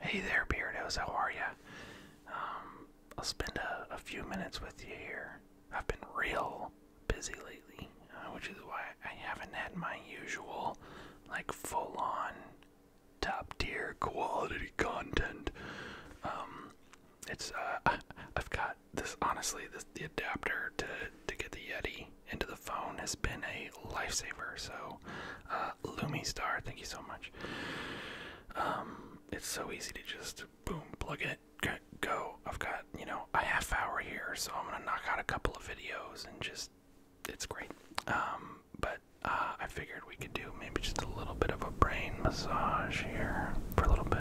Hey there, Beardos, how are ya? Um, I'll spend a, few minutes with you here. I've been real busy lately, uh, which is why I haven't had my usual, like, full on top tier quality content. Um, it's, uh, I've got this, honestly, the adapter to, to get the Yeti into the phone has been a a lifesaver. So, uh, Lumi Star, thank you so much. Um, it's so easy to just boom, plug it, go. I've got you know a half hour here, so I'm gonna knock out a couple of videos and just it's great. Um, but uh, I figured we could do maybe just a little bit of a brain massage here for a little bit.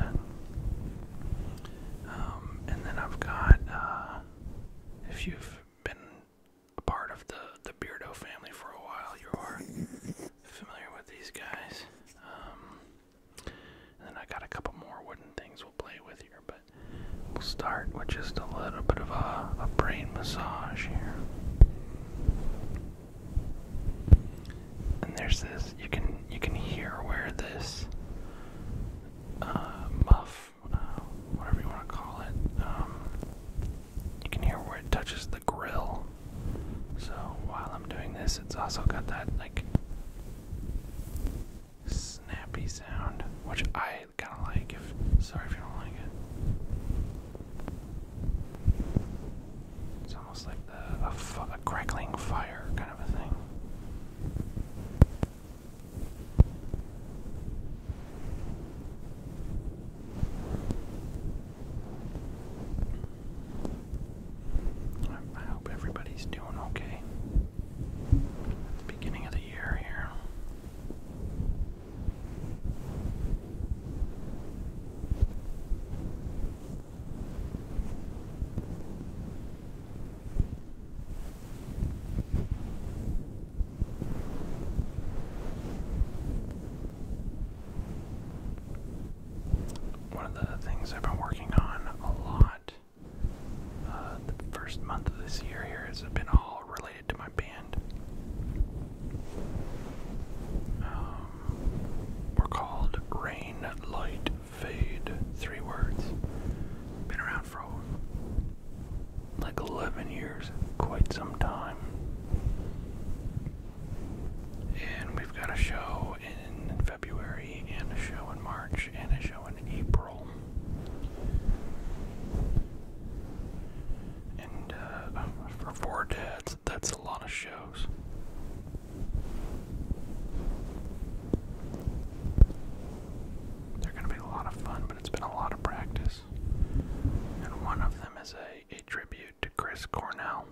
Um, and then I've got, uh, if you've been a part of the the Beardo family for a while. You are familiar with these guys. Um, and then I got a couple more wooden things we'll play with here, but we'll start with just a little bit of a, brain massage here. And there's this you can you can hear where this uh, muff uh, whatever you want to call it. Um, you can hear where it touches the grill. So while I'm doing this, it's also got that like snappy sound, which I kind of like. If sorry if you don't like it, it's almost like a crackling fire kind of a thing. I, hope everybody's doing okay. beginning of the year here. One of the things I've been working on a lot uh, the first month of this year here has been all related to my band. Um, we're called Rain, Fade. Three words. Been around for like 11 years, quite some time. And we've got a show in February, and a show in March, and a show in April. And uh, for four dads, that's a lot of shows. They're going to be a lot of fun, but it's been a lot of practice. And one of them as a, tribute to Chris Cornell,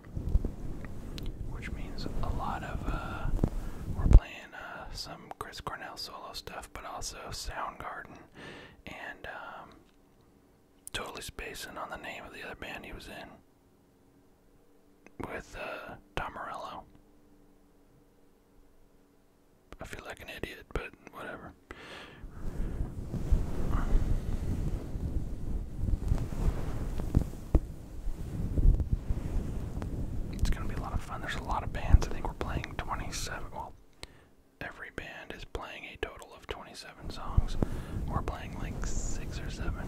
which means a lot of uh, we're playing uh, some Chris Cornell solo stuff, but also Soundgarden and um, totally spacing on the name of the other band he was in with Tom uh, Morello. I feel like an idiot, but whatever. It's gonna be a lot of fun. There's a lot of bands. I think we're playing 27. Well, every band is playing a total of 27 songs. We're playing like six or seven.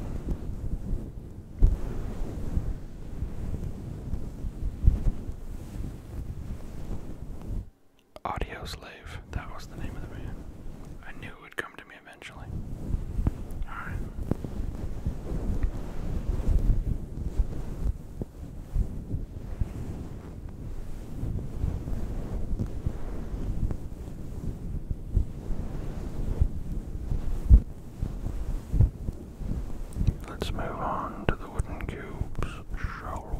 Audio Slave. That was the name of the man. I knew it would come to me eventually. Alright. Let's move on to the wooden cubes, shall we?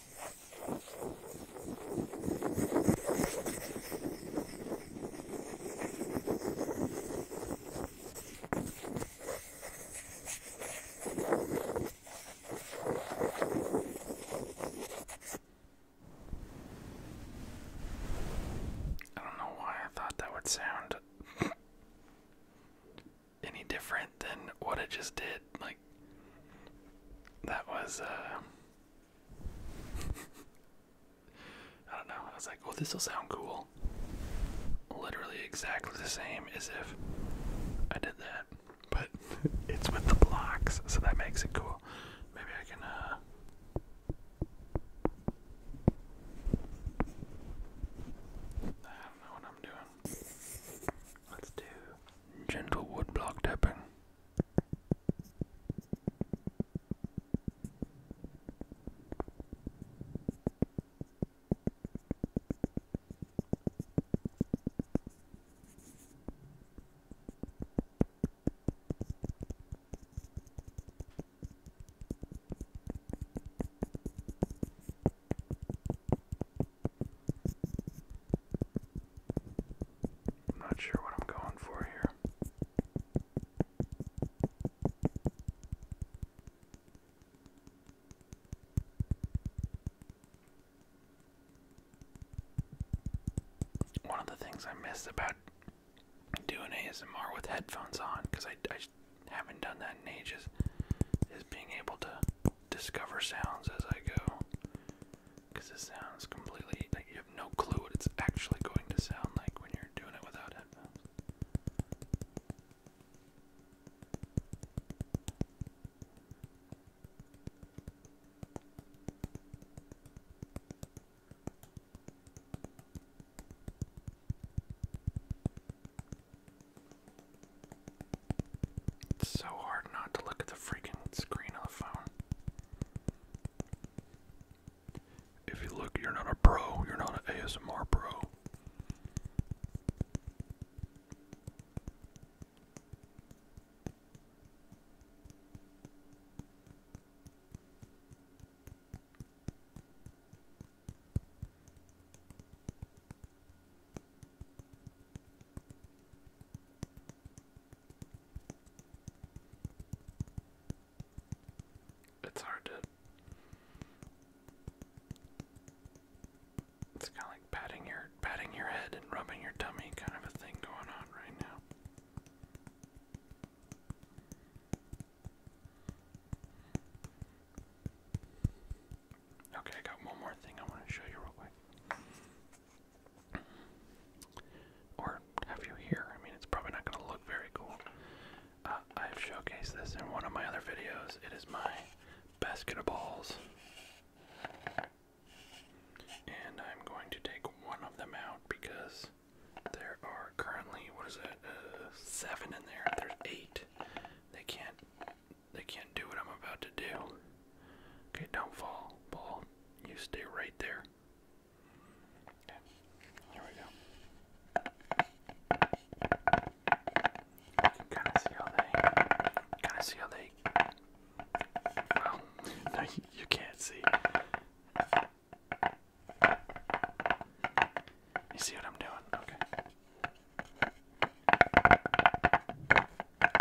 I don't know why I thought that would sound any different than what I just did. Like, that was, uh, I don't know. I was like, oh, this will sound cool. Literally exactly the same as if I did that, but it's with the blocks, so that makes it cool. Maybe I can, uh, I don't know what I'm doing. Let's do gentle woodblock block tapping. I'm not sure what I'm going for here. One of the things I miss about doing ASMR with headphones on, because I, I haven't done that in ages, is being able to discover sounds as I go. Because it sounds completely like you have no clue what it's actually going to sound like when you're doing it without headphones. It's so hard not to look at the freaking screen on the phone. If you look, you're not a pro, you're not an ASMR pro. It's hard to. It's kind of like patting your patting your head and rubbing your tummy, kind of a thing going on right now. Okay, I got one more thing I want to show you real quick. Or have you here? I mean, it's probably not going to look very cool. Uh, I've showcased this in one of my other videos. It is my basket of balls. And I'm going to take one of them out because there are currently, what is it, uh, seven in there. There's eight. They can't they can't do what I'm about to do. Okay, don't fall, ball. You stay right there. Okay, here we go. You can kind see how they, kind of see how they. Well, no, you can't see. You see what I'm doing? Okay.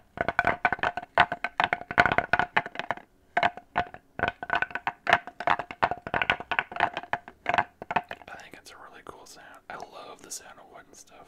I think it's a really cool sound. I love the sound of wood and stuff.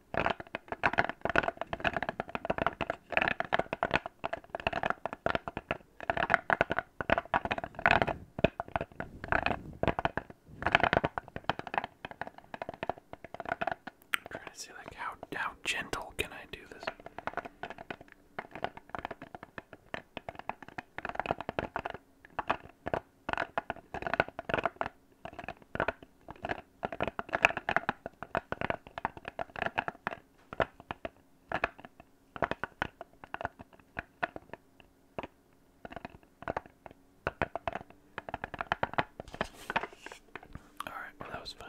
trying to see like how how gentle can I do this? Alright, well, that was fun.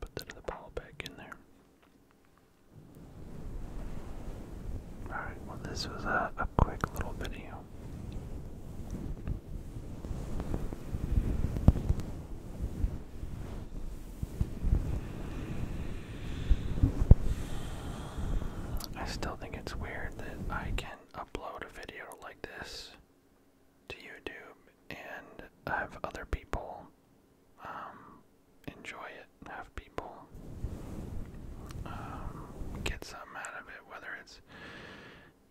Put that other ball back in there. Alright, well, this was a quick little video. I still think it's weird that I can upload a video like this to YouTube and have other people um, enjoy it, have people um, get something out of it whether it's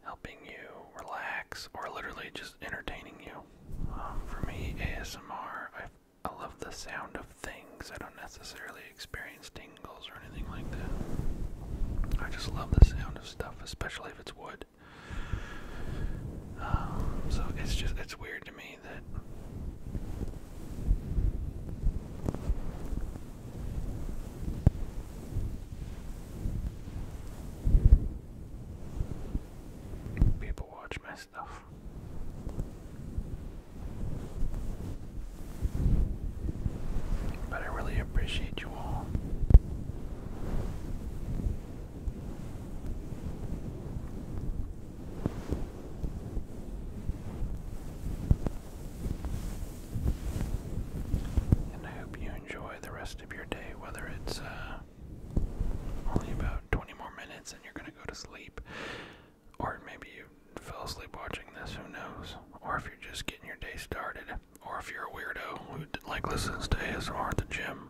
helping you relax or literally just entertaining you. Um, for me, ASMR, I, love the sound of things. I don't necessarily experience tingles or anything like that. I just love the sound of stuff, especially if it's wood. Um, so it's just, it's weird to me that People watch my stuff. But I really appreciate you all. And I hope you enjoy the rest of your day, whether it's uh, only about 20 more minutes and you're going to go to sleep, or maybe you fell asleep watching this, who knows, or if you're just getting your day started, or if you're a weirdo who like listens to ASMR at the gym.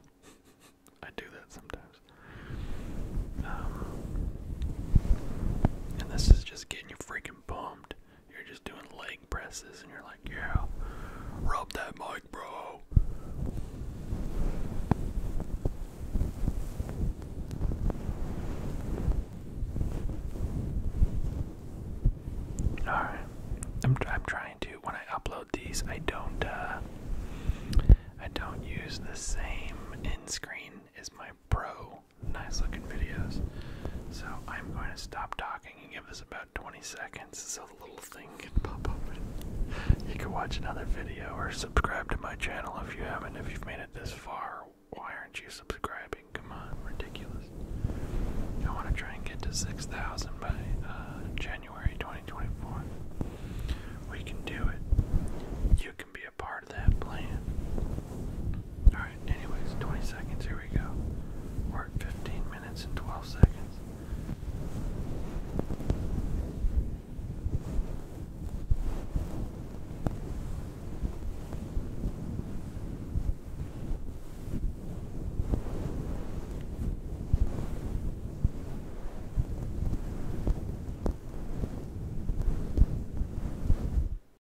I do that sometimes. Um, and this is just getting you freaking pumped you're just doing leg presses and you're like, yeah, rub that mic, bro. Alright, I'm, trying to, when I upload these, I don't, uh, I don't use the same in-screen as my Pro nice looking videos. So I'm going to stop talking and give us about 20 seconds so the little thing can pop up. you can watch another video or subscribe to my channel if you haven't. If you've made it this far, why aren't you subscribing? Come on, ridiculous. I want to try and get to 6,000 by uh, January 2024. We can do it. You can be a part that plan. Alright, anyways, 20 seconds, here we go. We're at 15 minutes and 12 seconds.